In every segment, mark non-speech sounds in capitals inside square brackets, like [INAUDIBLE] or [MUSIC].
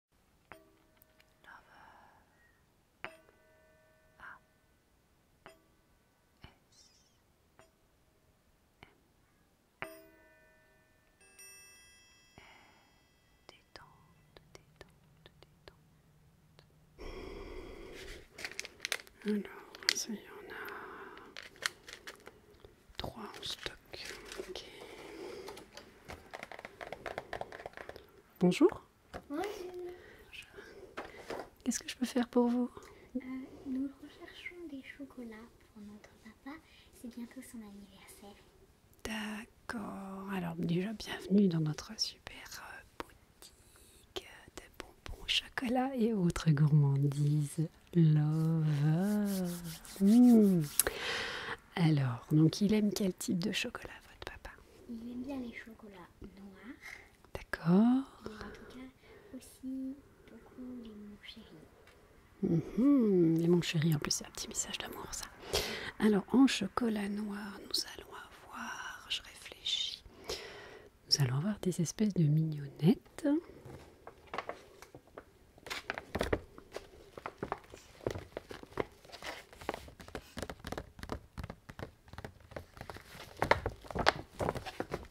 A S détente, détente, Alors, ça y en a trois en stock. Bonjour. Qu'est-ce que je peux faire pour vous euh, Nous recherchons des chocolats pour notre papa. C'est bientôt son anniversaire. D'accord. Alors déjà, bienvenue dans notre super euh, boutique de bonbons, chocolats et autres gourmandises. Love. Hmm. Alors, donc il aime quel type de chocolat, votre papa Il aime bien les chocolats noirs. D'accord. En tout cas, aussi beaucoup les mon chéri. Mhm, les mon chéri, en plus, c'est un petit message d'amour, ça. Alors, en chocolat noir, nous allons avoir, je réfléchis, nous allons avoir des espèces de mignonnettes.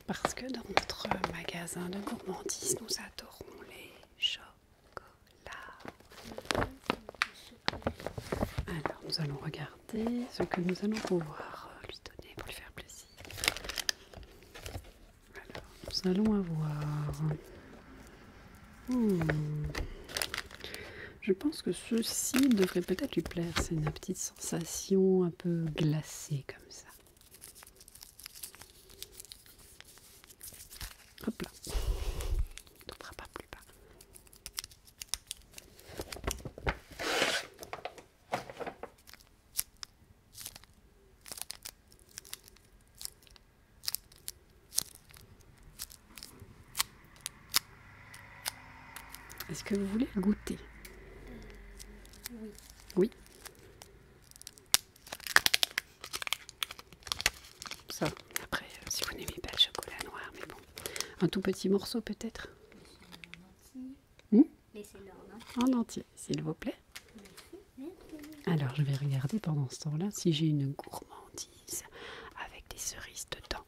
Parce que dans notre magasin de gourmandise, nous adorons les chocolats. Alors, nous allons regarder ce que nous allons pouvoir lui donner pour lui faire plaisir. Alors, nous allons avoir Hmm. Je pense que ceci devrait peut-être lui plaire. C'est une petite sensation un peu glacée comme ça. Hop là. ne pas plus bas. Est-ce que vous voulez goûter Oui. Oui. Ça, après, euh, si vous n'aimez pas le chocolat noir, mais bon. Un tout petit morceau peut-être hmm en entier. En entier, s'il vous plaît. Alors, je vais regarder pendant ce temps-là si j'ai une gourmandise avec des cerises dedans.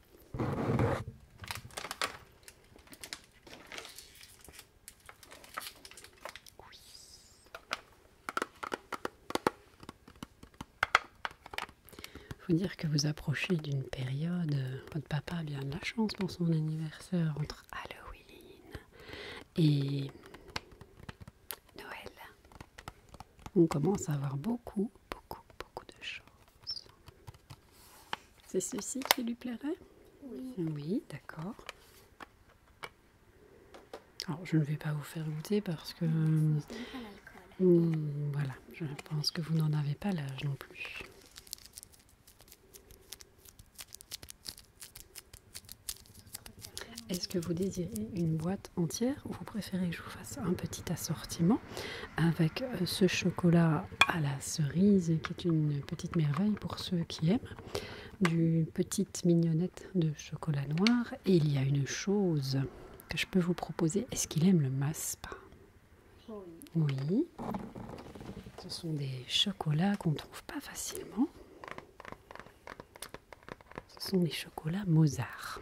Oui. Faut dire que vous approchez d'une période. Euh, votre papa a bien de la chance pour son anniversaire entre Halloween et Noël. On commence à avoir beaucoup, beaucoup, beaucoup de choses. C'est ceci qui lui plairait Oui. Oui, d'accord. Alors, je ne vais pas vous faire goûter parce que... Euh, hmm, voilà, je pense que vous n'en avez pas l'âge non plus. Est-ce que vous désirez une boîte entière ou vous préférez que je vous fasse un petit assortiment avec euh, ce chocolat à la cerise qui est une petite merveille pour ceux qui aiment du petite mignonnette de chocolat noir et il y a une chose que je peux vous proposer est-ce qu'il aime le maspa oui ce sont des chocolats qu'on ne trouve pas facilement ce sont des chocolats Mozart.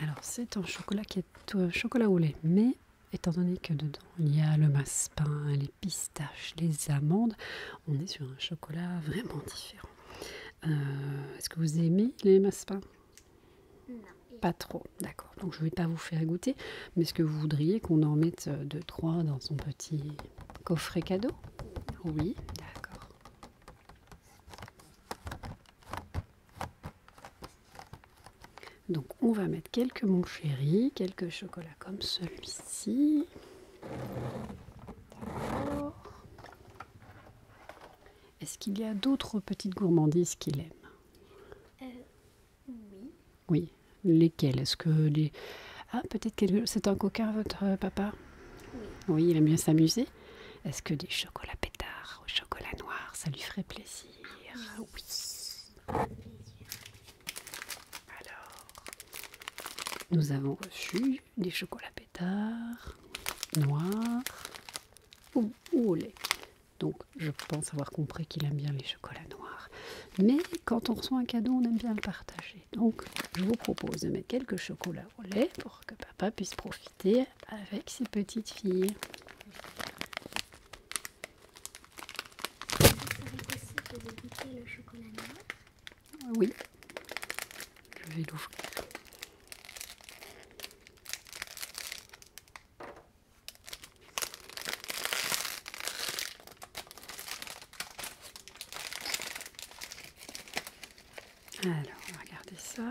Alors, c'est un chocolat qui est euh, chocolat au lait, mais étant donné que dedans il y a le massepain, les pistaches, les amandes, on est sur un chocolat vraiment différent. Euh, est-ce que vous aimez les massepains Non. Pas trop, d'accord. Donc je ne vais pas vous faire goûter, mais est-ce que vous voudriez qu'on en mette 2-3 euh, dans son petit coffret cadeau Oui, d'accord. Donc on va mettre quelques chéri, quelques chocolats comme celui-ci. Est-ce qu'il y a d'autres petites gourmandises qu'il aime euh, Oui. Oui. Lesquels Est-ce que les... Ah, peut-être que c'est un coquin, votre euh, papa oui. il aime bien s'amuser. Est-ce que des chocolats pétards au chocolat noir, ça lui ferait plaisir ah, Oui. Alors, nous avons reçu des chocolats pétards noirs ou au lait. Donc je pense avoir compris qu'il aime bien les chocolats noirs. Mais quand on reçoit un cadeau, on aime bien le partager. Donc je vous propose de mettre quelques chocolats au lait pour que papa puisse profiter avec ses petites filles. Oui, je vais l'ouvrir. Alors, on va ça.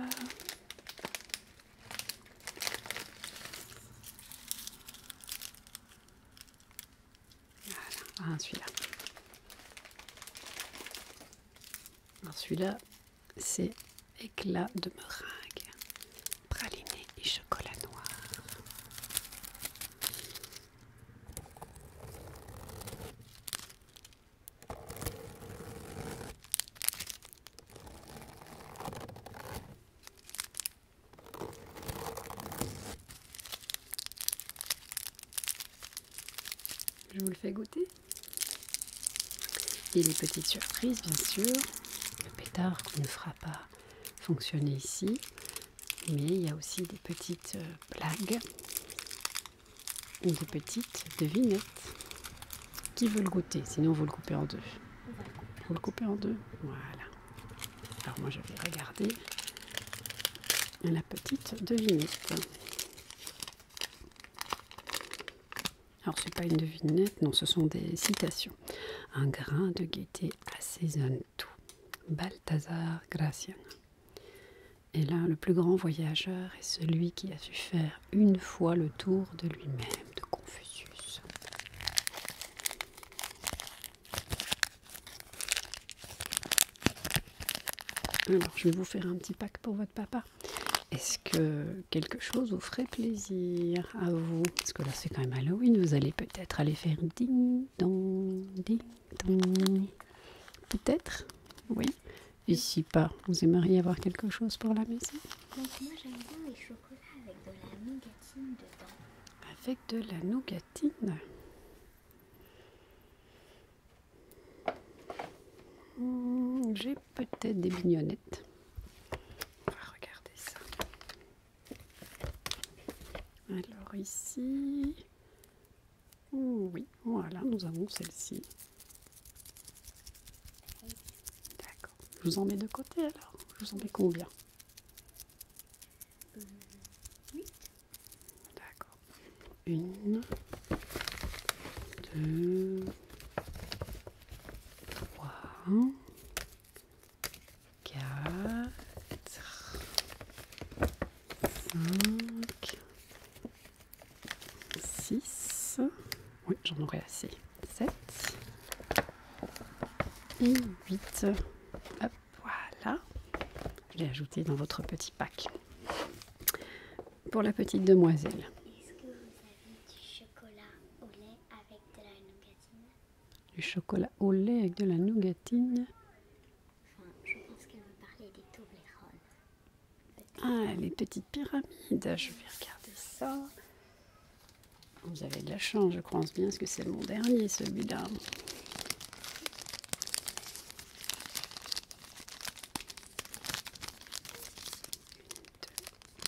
Voilà, celui-là. celui-là, c'est éclat de meringue praliné et chocolat noir. Je vous le fais goûter. et les petites surprises, bien sûr. Le pétard ne fera pas fonctionner ici. Mais il y a aussi des petites blagues, euh, des petites devinettes qui veut le goûter. Sinon, vous le coupez en deux. Vous le coupez en deux. Voilà. Alors moi, je vais regarder la petite devinette. Alors, c'est pas une devinette, non, ce sont des citations. Un grain de gaieté assaisonne tout. Balthazar Graciano. Et là, le plus grand voyageur est celui qui a su faire une fois le tour de lui-même, de Confucius. Alors, je vais vous faire un petit pack pour votre papa. Est-ce que quelque chose vous ferait plaisir à vous. Parce que là, c'est quand même Halloween. Vous allez peut-être aller faire ding dong, ding Peut-être, oui. Et si pas, vous aimeriez avoir quelque chose pour la maison Moi, j'aime bien les chocolats avec de la nougatine dedans. Avec de la nougatine hmm, J'ai peut-être des mignonnettes. On va regarder ça. Alors ici, oui, voilà, nous avons celle-ci. D'accord. Je vous en mets de côté alors. Je vous en mets combien D'accord. Une, deux, trois, 4, 5, 6, oui j'en aurai assez, 7 et 8. Hop, voilà, je l'ai ajouté dans votre petit pack. Pour la petite demoiselle. Est-ce que du chocolat au lait avec de la nougatine du chocolat au lait avec de la nougatine enfin je pense qu'elle va parler des ah les petites pyramides, je vais regarder ça vous avez de la chance, je crois bien parce que c'est mon dernier celui-là 1, 2,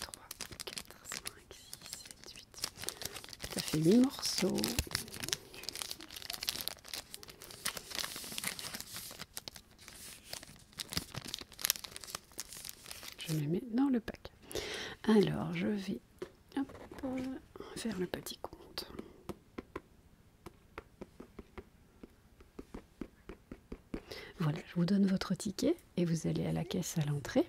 3, 4, 5, 6, 7, 8 ça fait 8 morceaux. Je les mets dans le pack. Alors, je vais faire le petit compte. Voilà, je vous donne votre ticket et vous allez à la caisse à l'entrée.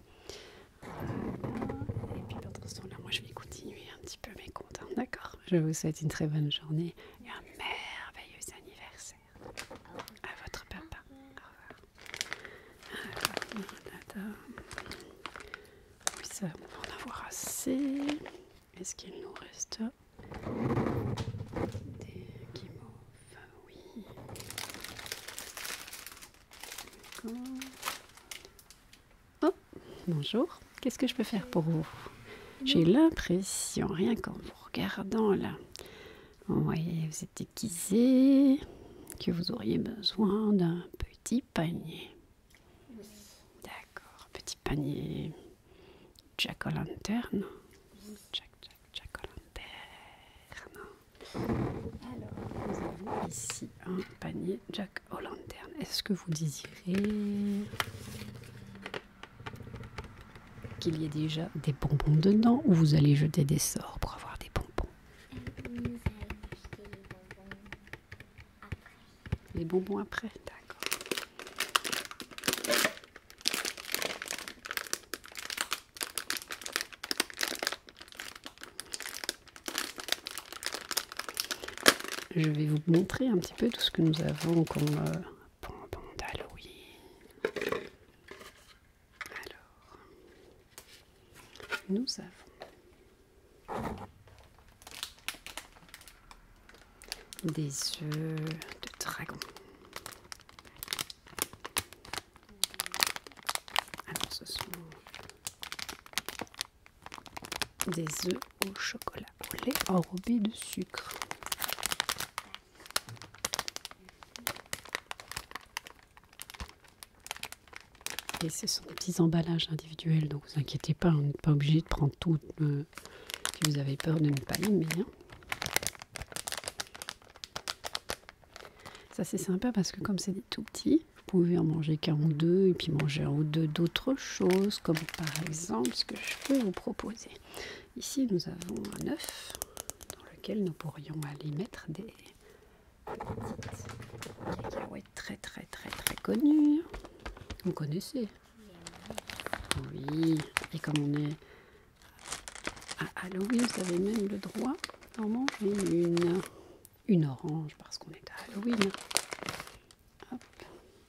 Et puis pendant ce temps-là, moi je vais continuer un petit peu mes comptes. Hein, d'accord Je vous souhaite une très bonne journée et un merveilleux anniversaire à votre papa. Au revoir. Alors, oui, ça, on va en avoir assez. Est-ce qu'il nous reste des guimauves Oui. Oh, bonjour. Qu'est-ce que je peux faire pour vous J'ai l'impression, rien qu'en vous regardant là, vous voyez, vous êtes déguisé, que vous auriez besoin d'un petit panier. D'accord, petit panier jack o lantern Jack, jack, jack o lantern alors, nous avons ici un panier Jack O' Est-ce que vous désirez qu'il y ait déjà des bonbons dedans ou vous allez jeter des sorts pour avoir des bonbons Les bonbons après, d'accord. Je vais vous montrer un petit peu tout ce que nous avons comme pendant euh, d'Halloween. Alors, nous avons des œufs de dragon, alors, ce sont des œufs au chocolat au lait enrobés de sucre. Et ce sont des petits emballages individuels, donc vous inquiétez pas, on n'est pas obligé de prendre tout euh, si vous avez peur de ne pas aimer. Hein. Ça c'est sympa parce que comme c'est tout petit, vous pouvez en manger qu'un ou deux et puis manger un ou deux d'autres choses comme par exemple ce que je peux vous proposer. Ici nous avons un œuf dans lequel nous pourrions aller mettre des petites cacahuètes très très très très connues. Vous connaissez Oui, et comme on est à Halloween, vous avez même le droit d'en manger une une orange parce qu'on est à Halloween.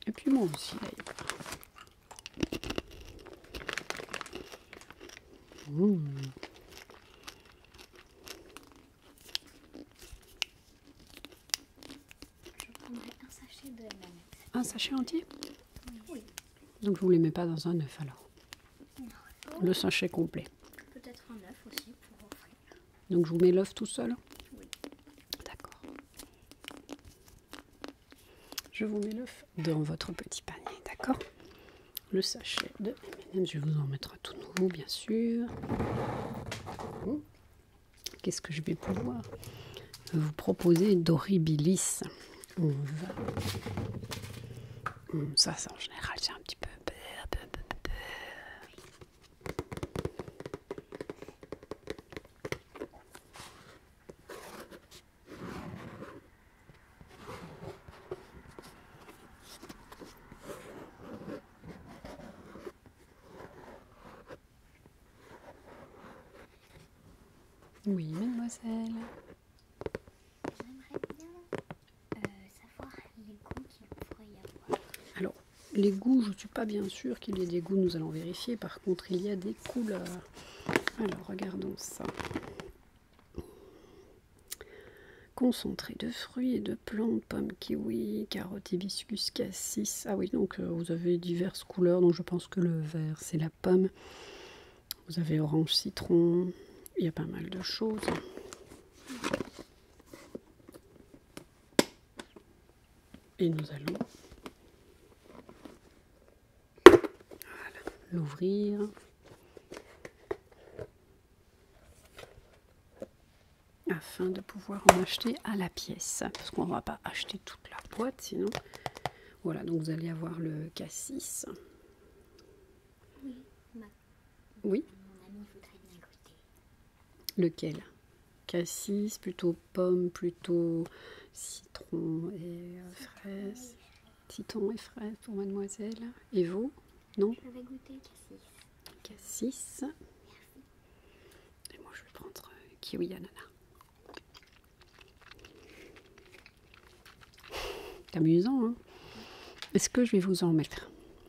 Et puis moi aussi d'ailleurs. Je prendrai un sachet de M&M's. Un sachet entier Oui. Donc je ne les mets pas dans un œuf alors le sachet complet. Peut-être un aussi pour offrir. Donc je vous mets l'œuf tout seul Oui. D'accord. Je vous mets l'œuf dans votre petit panier, d'accord Le sachet de M&M, je vous en mettre tout nouveau bien sûr. Hum. Qu'est-ce que je vais pouvoir vous proposer d'oribilis ça, c'est en général, j'ai un petit peu. Oui, mademoiselle. Euh, Alors, les goûts, je ne suis pas bien sûr qu'il y ait des goûts, nous allons vérifier. Par contre, il y a des couleurs. Alors, regardons ça. Concentré de fruits et de plantes, pomme, kiwi, carotte, hibiscus, cassis. Ah oui, donc euh, vous avez diverses couleurs. Donc je pense que le vert, c'est la pomme. Vous avez orange, citron. Il y a pas mal de choses. Et nous allons l'ouvrir. afin de pouvoir en acheter à la pièce parce qu'on ne va pas acheter toute la boîte sinon voilà donc vous allez avoir le cassis oui. Mon ami Lequel Cassis, plutôt pomme, plutôt citron et euh, fraise. Citron et fraise pour mademoiselle. Et vous Non Je cassis. Cassis. Et moi je vais prendre kiwi euh, kiwi ananas. C'est amusant, hein Est-ce que je vais vous en mettre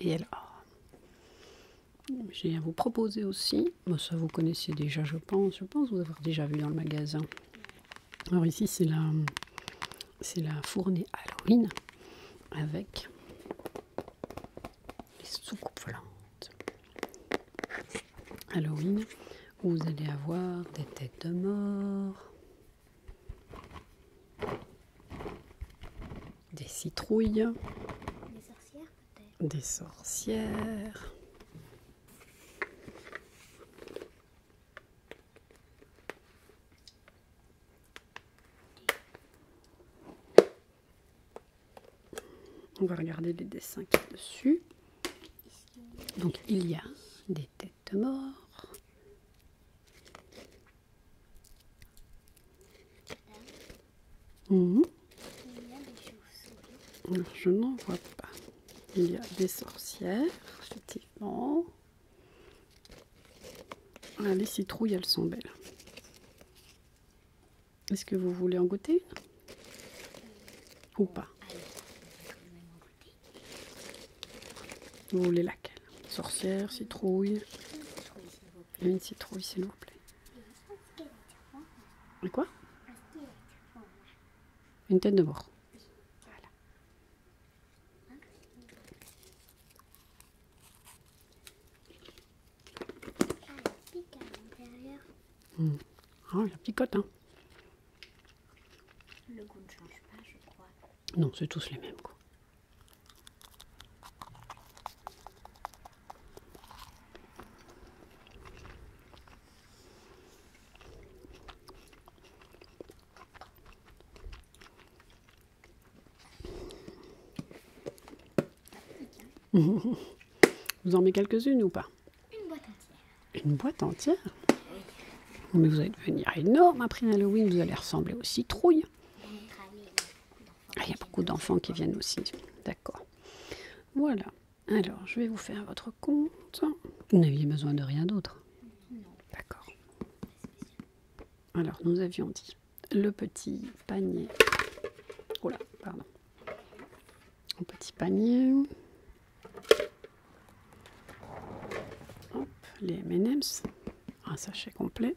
Et alors, ah. j'ai à vous proposer aussi, bah, ça vous connaissez déjà je pense, je pense vous avoir déjà vu dans le magasin. Alors ici c'est la, c'est la fournée Halloween avec les soucoupes volantes. Halloween où vous allez avoir des têtes de mort, des citrouilles, des sorcières peut-être, On va regarder les dessins qui dessus. Donc il y a des têtes mortes, mhm. je n'en vois pas. Il y a des sorcières, effectivement. Ah, les citrouilles, elles sont belles. Est-ce que vous voulez en goûter Ou pas vous les laquelle Sorcière, citrouille Une citrouille, s'il vous plaît. Et quoi Une tête de mort. Voilà. Ah, il pique à l'intérieur. Hmm. Ah, picote, hein le goût change pas, je crois. Non, c'est tous les mêmes [LAUGHS] Vous en mettez quelques-unes ou pas une boîte entière. Une boîte entière Mais vous allez devenir énorme après Halloween, vous allez ressembler aux citrouilles. Ah, il y a beaucoup d'enfants qui viennent aussi. D'accord. Voilà. Alors, je vais vous faire votre compte. Vous n'aviez besoin de rien d'autre D'accord. Alors, nous avions dit le petit panier. Oh pardon un petit panier. les M&M's, un sachet complet.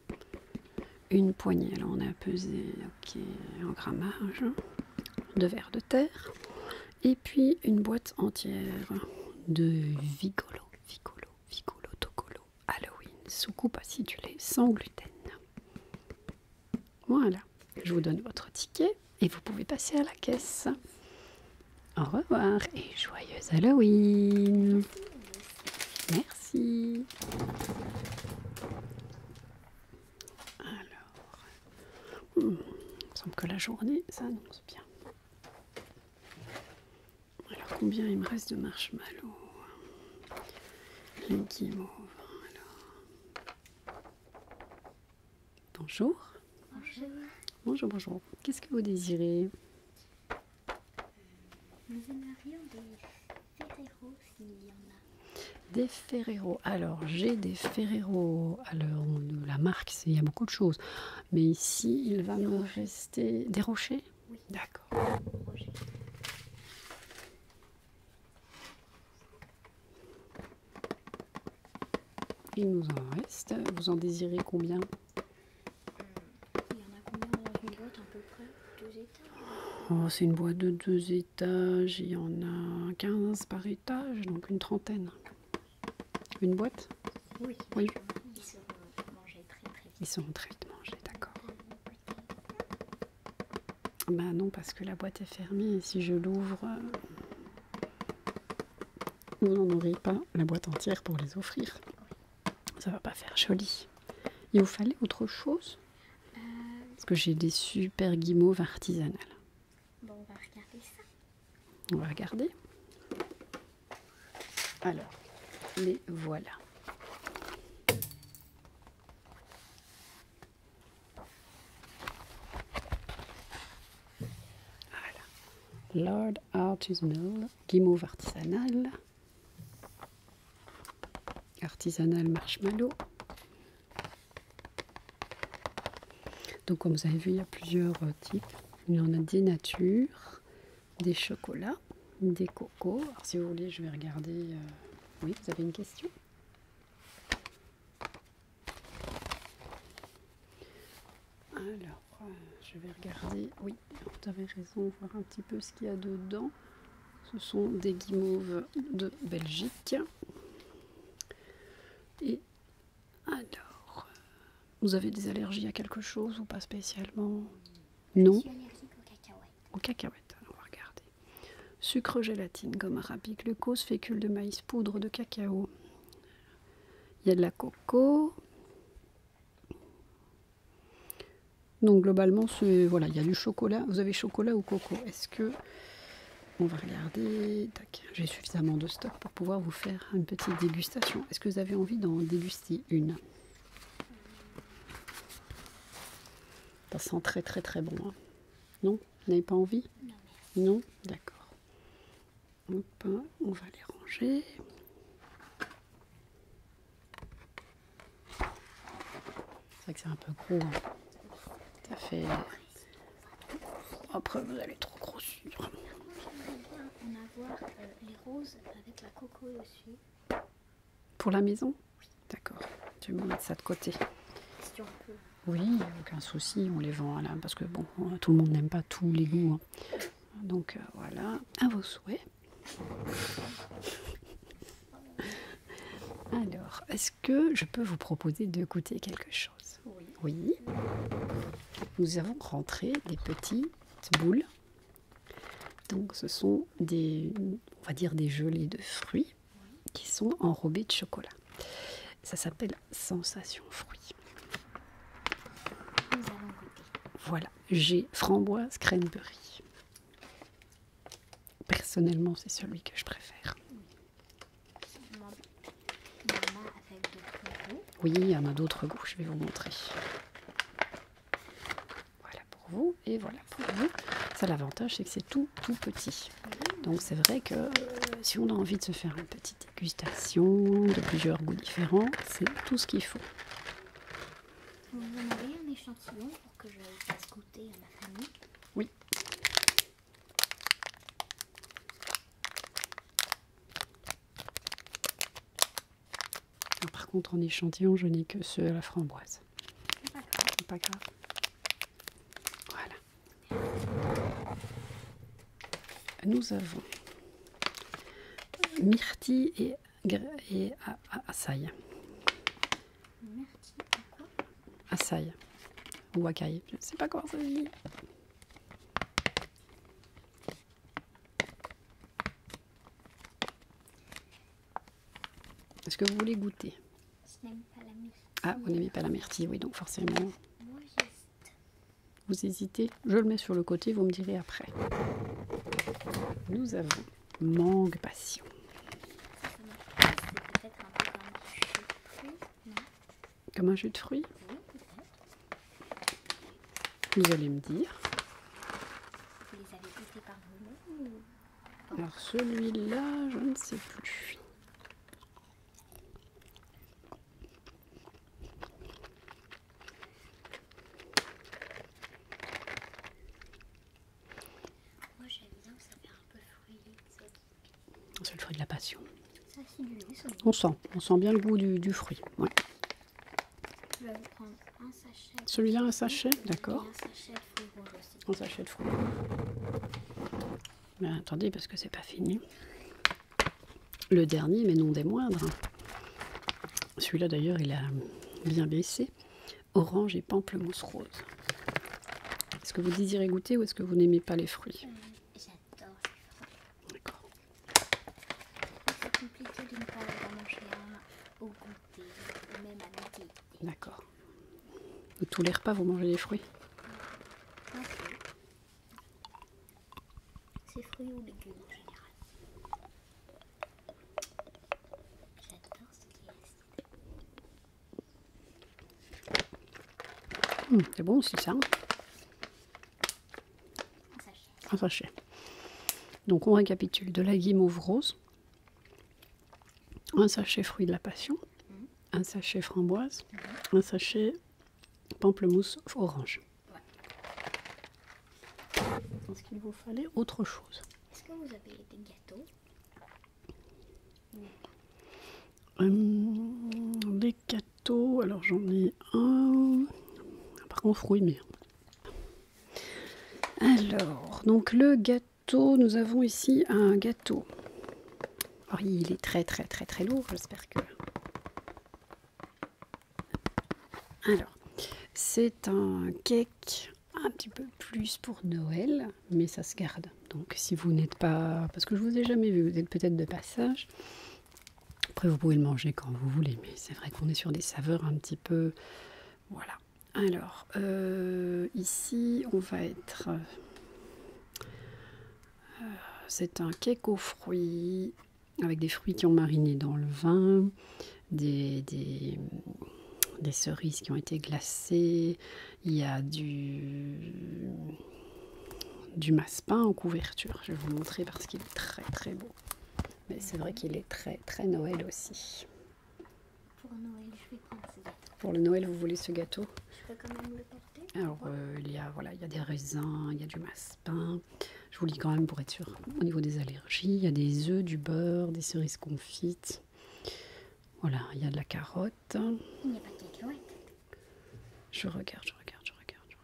Une poignée, là on a pesé ok, en grammage, deux verres de terre. Et puis une boîte entière de Vigolo, Vigolo, Vigolo, Tocolo, Halloween, sous coupe acidulée, sans gluten. Voilà, je vous donne votre ticket et vous pouvez passer à la caisse. Au revoir et joyeuse Halloween. Merci. Alors, hmm, il me semble que la journée s'annonce bien. Alors combien il me reste de marshmallows Bonjour. Bonjour. Bonjour, bonjour. Qu'est-ce que vous désirez des Ferrero Des Ferrero. Alors, j'ai des Ferrero. Alors, la marque, il y a beaucoup de choses. Mais ici, il va me rester. Des rochers Oui. D'accord. Il nous en reste. Vous en désirez combien Il y en a combien dans une boîte à peu près Deux étages oh, C'est une boîte de deux étages. Il y en a 15 par étage, donc une trentaine. Une boîte Oui. Ils sont euh, mangés très, très vite. Ils seront très vite mangés, d'accord. Ben non, parce que la boîte est fermée. Et si je l'ouvre, vous n'en aurez pas la boîte entière pour les offrir. Ça va pas faire joli. Il vous fallait autre chose euh, Parce que j'ai des super guimauves artisanales. Bon, on va regarder ça. On va regarder. Alors, les voilà. Voilà. Lord Artisanal, guimauve artisanale. Artisanal marshmallow. Donc comme vous avez vu, il y a plusieurs euh, types. Il y en a des natures, des chocolats, des cocos. Alors si vous voulez, je vais regarder. Euh, oui, vous avez une question alors, euh, je vais regarder. Oui, vous avez raison, voir un petit peu ce qu'il y a dedans. Ce sont des guimauves de Belgique. Et alors, euh, vous avez des allergies à quelque chose ou pas spécialement Non. Au suis allergique aux cacahuètes. Aux cacahuètes, on va regarder. Sucre, gélatine, gomme arabique, glucose, fécule de maïs, poudre de cacao, il y a de la coco. Donc globalement, voilà, il y a du chocolat. Vous avez chocolat ou coco Est-ce que on va regarder J'ai suffisamment de stock pour pouvoir vous faire une petite dégustation. Est-ce que vous avez envie d'en déguster une Ça sent très très très bon. Hein. non Vous n'avez pas envie non D'accord. Hop, on va les ranger. C'est vrai que c'est un peu gros. Hein. Ça fait. Après, vous allez trop grossir. J'aimerais bien en avoir euh, les roses avec la coco dessus. Pour la maison oui. D'accord. Tu vais me mettre ça de côté. Si on peut. Oui, aucun souci, on les vend, à là, parce que bon, euh, tout le monde n'aime pas tous les goûts. Hein. Donc euh, voilà, à vos souhaits. Alors, est-ce que je peux vous proposer de goûter quelque chose oui. oui. Nous avons rentré des petites boules. Donc, ce sont des, on va dire, des gelées de fruits qui sont enrobées de chocolat. Ça s'appelle Sensation fruit. Voilà, j'ai framboise cranberry. Personnellement, c'est celui que je préfère. Oui, il y en a d'autres goûts, je vais vous montrer. Voilà pour vous et voilà pour vous. Ça, l'avantage, c'est que c'est tout, tout petit. Donc, c'est vrai que euh, si on a envie de se faire une petite dégustation de plusieurs goûts différents, c'est tout ce qu'il faut. Vous en avez un échantillon pour que je fasse goûter à ma famille Oui. Ah, par contre, en échantillon, je n'ai que ceux à la framboise. C'est Pas grave. Voilà. Nous avons myrtille et, et açaï. et Açaï. Ou acaille, je ne sais pas comment ça se dit. Est-ce que vous voulez goûter Je n'aime pas la myrtille. Ah, vous n'aimez pas la myrtille, oui, donc forcément. Moi, vous hésitez, je le mets sur le côté, vous me direz après. Nous avons mangue passion. Comme un jus de fruits Vous allez me dire. les avez par vous-même Alors celui-là, je ne sais plus. C'est le fruit de la passion. on sent, bien le goût du, fruit. Celui-là un sachet, d'accord. Un sachet de fruits Mais attendez parce que c'est pas fini. Le dernier, mais non des moindres. Celui-là d'ailleurs, il a bien baissé. Orange et pamplemousse rose. Est-ce que vous désirez goûter ou est-ce que vous n'aimez pas les fruits D'accord. pas tous les vous mangez des fruits c'est fruits ou légumes en général. J'adore ce qui est acide. Hum, c'est bon aussi ça. Hein. Un sachet. Un sachet. Donc on récapitule de la guimauve rose, un sachet fruit de la passion, mmh. un sachet framboise, mmh. un sachet pamplemousse orange. Je qu'il vous fallait autre chose. Est-ce que vous avez des gâteaux euh, Des gâteaux, alors j'en ai un. Par contre, fruit, mais. Alors, donc le gâteau, nous avons ici un gâteau. il est très très très très lourd, j'espère que alors, c'est un cake un petit peu plus pour Noël, mais ça se garde. Donc si vous n'êtes pas... Parce que je vous ai jamais vu, vous êtes peut-être de passage. Après, vous pouvez le manger quand vous voulez, mais c'est vrai qu'on est sur des saveurs un petit peu... Voilà. Alors, euh, ici, on va être... Euh, c'est un cake aux fruits avec des fruits qui ont mariné dans le vin, des, cerises qui ont été glacées. Il y a du, du massepain en couverture. Je vais vous montrer parce qu'il est très très beau. Mais c'est vrai qu'il est très très Noël aussi. Pour Noël, je vais prendre Pour le Noël, vous voulez ce gâteau Je alors, euh, il, y a, des raisins, il y a du massepain. Je vous lis quand même pour être sûr. Au niveau des allergies, il y a des œufs, du beurre, des cerises confites. Voilà, il y a de la carotte. n'y a pas de Je regarde, je regarde, je regarde, je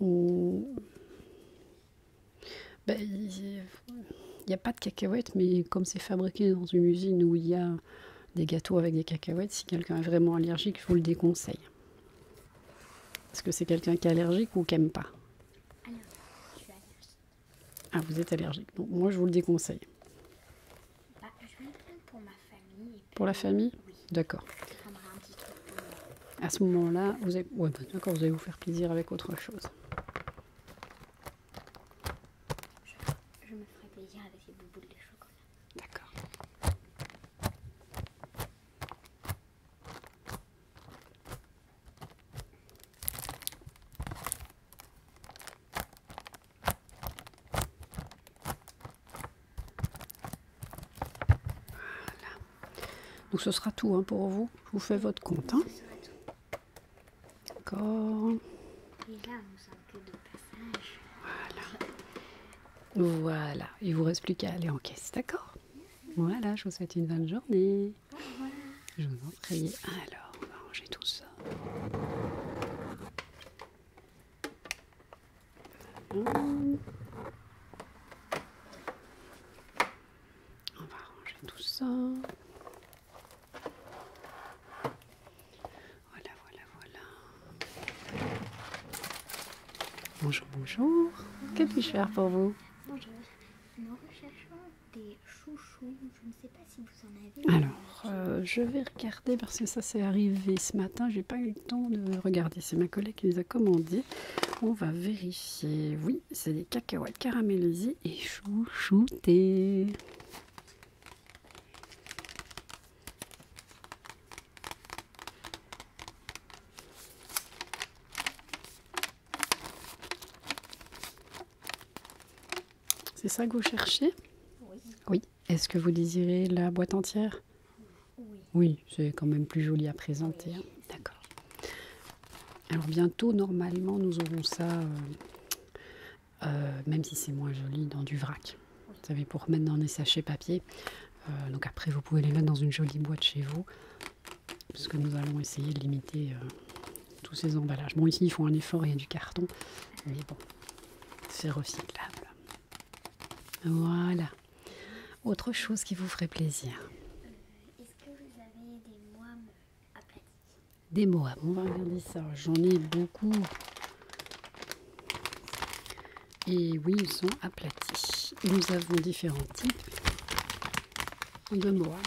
regarde. Ben, il n'y a pas de cacahuètes, mais comme c'est fabriqué dans une usine où il y a des gâteaux avec des cacahuètes. Si quelqu'un est vraiment allergique, je vous le déconseille. Est-ce que c'est quelqu'un qui est allergique ou qui n'aime pas Ah, vous êtes allergique. Donc, moi, je vous le déconseille. Bah, pour la famille D'accord. À ce moment-là, vous bah, vous allez vous faire plaisir avec autre chose. Je, me ferai plaisir avec les bouboules de chocolat. D'accord. Voilà. Donc ce sera tout hein, pour vous. Je vous fais votre compte. Hein. D'accord. Et là, on de passage. Voilà. Voilà. Il vous reste plus qu'à aller en caisse, d'accord Voilà, je vous souhaite une bonne journée. Je vous en prie. Alors, on va ranger tout ça. On va ranger tout ça. Voilà, voilà, voilà. Bonjour, bonjour. Que puis-je faire pour vous Bonjour. des chouchous. Je ne sais pas si vous en avez. Alors, euh, je vais regarder parce que ça s'est arrivé ce matin. J'ai pas eu le temps de regarder. C'est ma collègue qui nous a commandé On va vérifier. Oui, c'est des cacahuètes caramélisées et chouchoutées. C'est ça que vous cherchez Oui. Est-ce que vous désirez la boîte entière Oui. Oui, c'est quand même plus joli à présenter. Hein. D'accord. Alors bientôt, normalement, nous aurons ça euh, euh, même si c'est moins joli, dans du vrac. Vous savez, pour mettre dans des sachets papier. Euh, donc après, vous pouvez les mettre dans une jolie boîte chez vous, parce que nous allons essayer de limiter euh, tous ces emballages. Bon, ici, ils font un effort, il y a du carton, mais bon, c'est recyclable. Voilà. Autre chose qui vous ferait plaisir. Est-ce que vous avez des moines des On va regarder ça. J'en ai beaucoup. Et oui, ils sont aplatis. Nous avons différents types de Moab.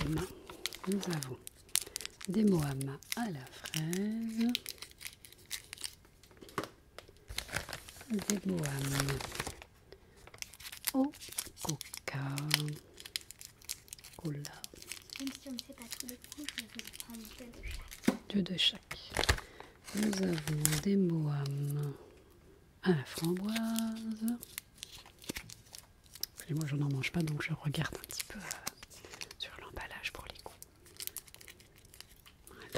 Nous avons des Moab à la fraise. Des au coca. Même si on ne pas tous les coups, je vais prendre deux de chaque. Nous avons des Moams. à ah, la framboise. Et moi, je n'en mange pas, donc je regarde un petit peu euh, sur l'emballage pour les coups.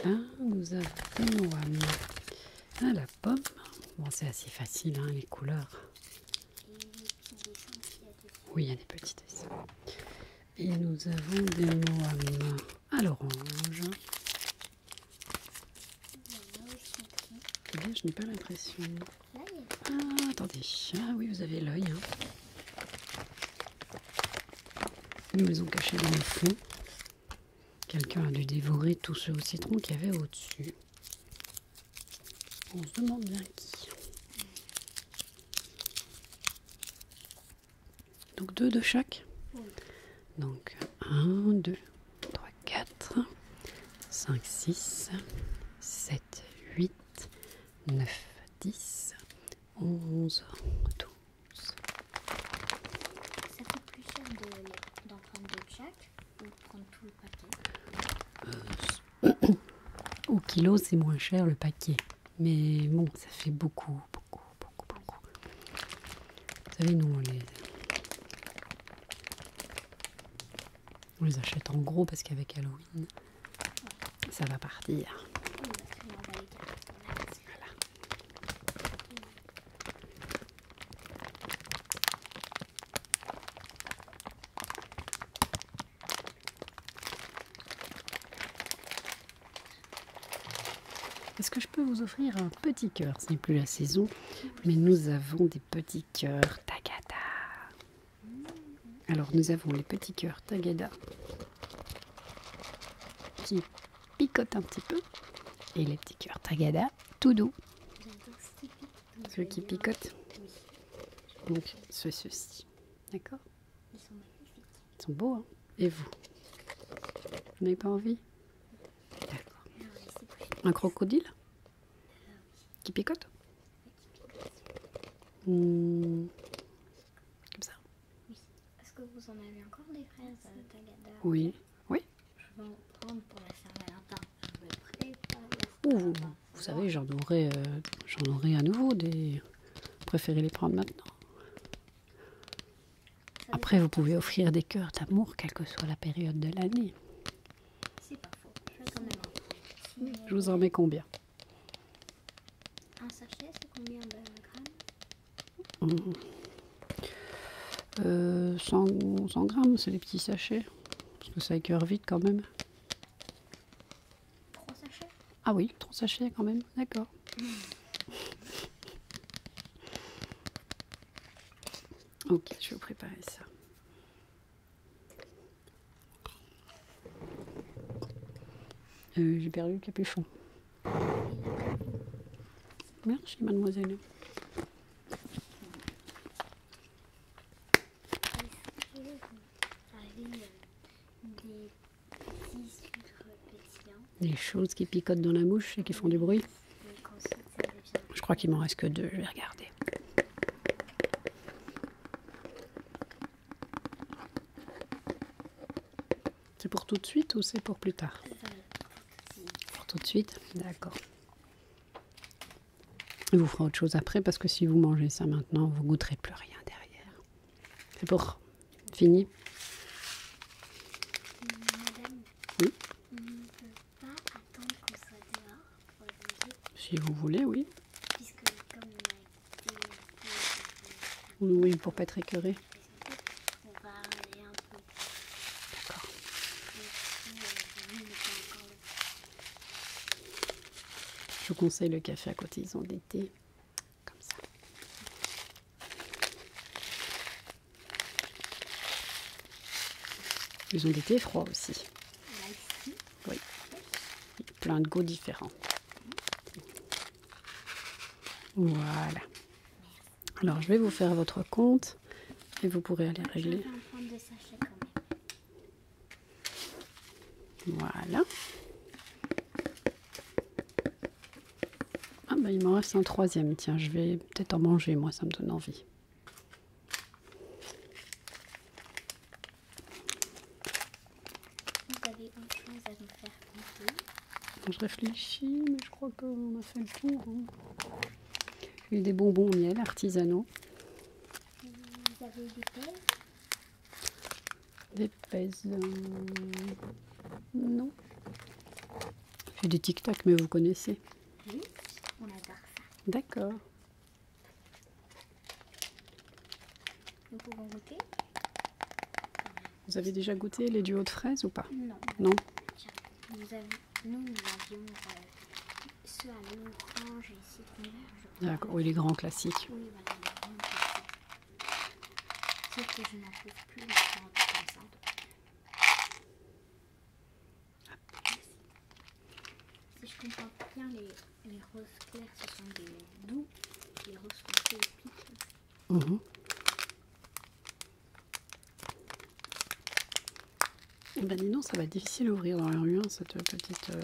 Voilà, nous avons des moham à ah, la pomme. Bon, c'est assez facile, hein, les couleurs. Oui, il y a des petites Et nous avons des noix à l'orange. Eh je n'ai pas l'impression. Ah, attendez. Ah oui, vous avez l'œil. Hein. Une maison cachée dans le fond. Quelqu'un a dû dévorer tous ce citron qu'il y avait au-dessus. On se demande bien qui. Donc deux de chaque. Donc 1, 2, 3, 4, 5, 6, 7, 8, 9, 10, 11, 12. Ça plus d'en prendre deux de chaque tout le paquet euh, au kilo, c'est moins cher le paquet. Mais bon, ça fait beaucoup, beaucoup, beaucoup, beaucoup. Vous savez, nous, on les, achète en gros parce qu'avec Halloween, ça va partir. Est-ce que je peux vous offrir un petit cœur Ce n'est plus la saison, mais nous avons des petits cœurs Tagada. Alors nous avons les petits cœurs Tagada qui picotent un petit peu et les petits cœurs Tagada tout doux. Ceux qui picotent. Donc ce, ceci. D'accord ils sont magnifiques. Ils sont beaux, hein Et vous Vous n'avez pas envie D'accord. Un crocodile Qui picote hmm. Comme ça. Oui. Est-ce que vous en avez encore des fraises euh, tagada Oui. Oui. Je vais en prendre pour la Saint-Valentin. Je vais préparer la vous. Vous savez, euh, j'en aurais, à nouveau des. Préférez les prendre maintenant. Après, vous pouvez offrir des cœurs d'amour, quelle que soit la période de l'année. C'est Je, Je vous en mets combien Un sachet, c'est combien de grammes 100, mmh. euh, grammes, c'est les petits sachets. Parce que ça écœure vite quand même. Trop sachets Ah oui, trop sachet quand même, d'accord. [LAUGHS] ok, je vais vous préparer ça. Euh, j'ai perdu le capuchon. Merci mademoiselle est des petits Des choses qui picotent dans la bouche et qui font du bruit Je crois qu'il m'en reste que deux, je vais regarder. C'est pour tout de suite ou c'est pour plus tard Pour tout de suite, d'accord. Vous fera autre chose après parce que si vous mangez ça maintenant, vous goûterez plus rien derrière. C'est pour fini. Madame, on ne peut pas attendre qu'on soit dehors pour loger. Si vous voulez, oui. Puisque comme on a été... Oui, pour ne pas être écœuré. On va aller un peu. D'accord. Euh, Je vous conseille le café à côté, ils ont des comme ça. Ils ont été froids aussi. Oui. Plein de goûts différents. Voilà. Alors je vais vous faire votre compte et vous pourrez aller régler. Voilà. Ah ben il m'en reste un troisième. Tiens, je vais peut-être en manger, moi ça me donne envie. Vous avez autre chose à nous faire compter Je réfléchis, mais je crois qu'on a fait le tour. Hein. Il y a des bonbons au miel artisanaux. Vous avez des paysans. Euh, non. J'ai des tic-tac, mais vous connaissez. Oui, on adore ça. D'accord. Nous pouvons goûter. Vous avez déjà goûté les duos de fraises ou pas Non. Non nous, avons, nous, nous avions euh, ceux à l'orange et ces vert, D'accord, oui, les grands classiques. Oui, voilà, bah, les grands classiques. Sauf que je n'en trouve plus les comme ça. Si je comprends bien, les, roses claires, ce sont des doux, les roses foncées piquent. Mmh. Eh ben dis donc, ça va être difficile à ouvrir dans la rue, hein, cette petite... Euh,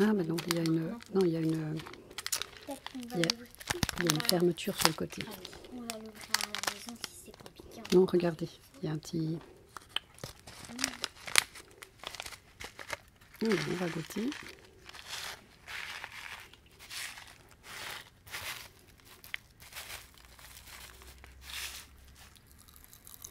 ah, bah donc il y a une, non, il y a une, une fermeture sur le côté. Ah hein. Non, regardez, il y a un petit. Mm. on va goûter.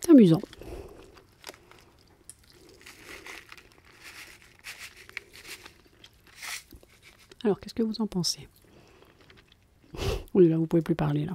C'est amusant. Alors, qu'est-ce que vous en pensez [LAUGHS] Oh, là, vous pouvez plus parler, là.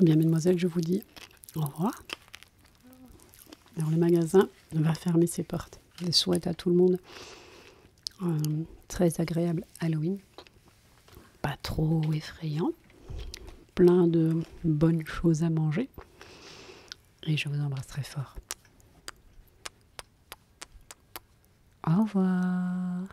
Eh bien, mademoiselle, je vous dis au revoir. Alors, le magasin va fermer ses portes. Je souhaite à tout le monde un euh, très agréable Halloween, pas trop effrayant, plein de bonnes choses à manger. Et je vous embrasse très fort. Au revoir.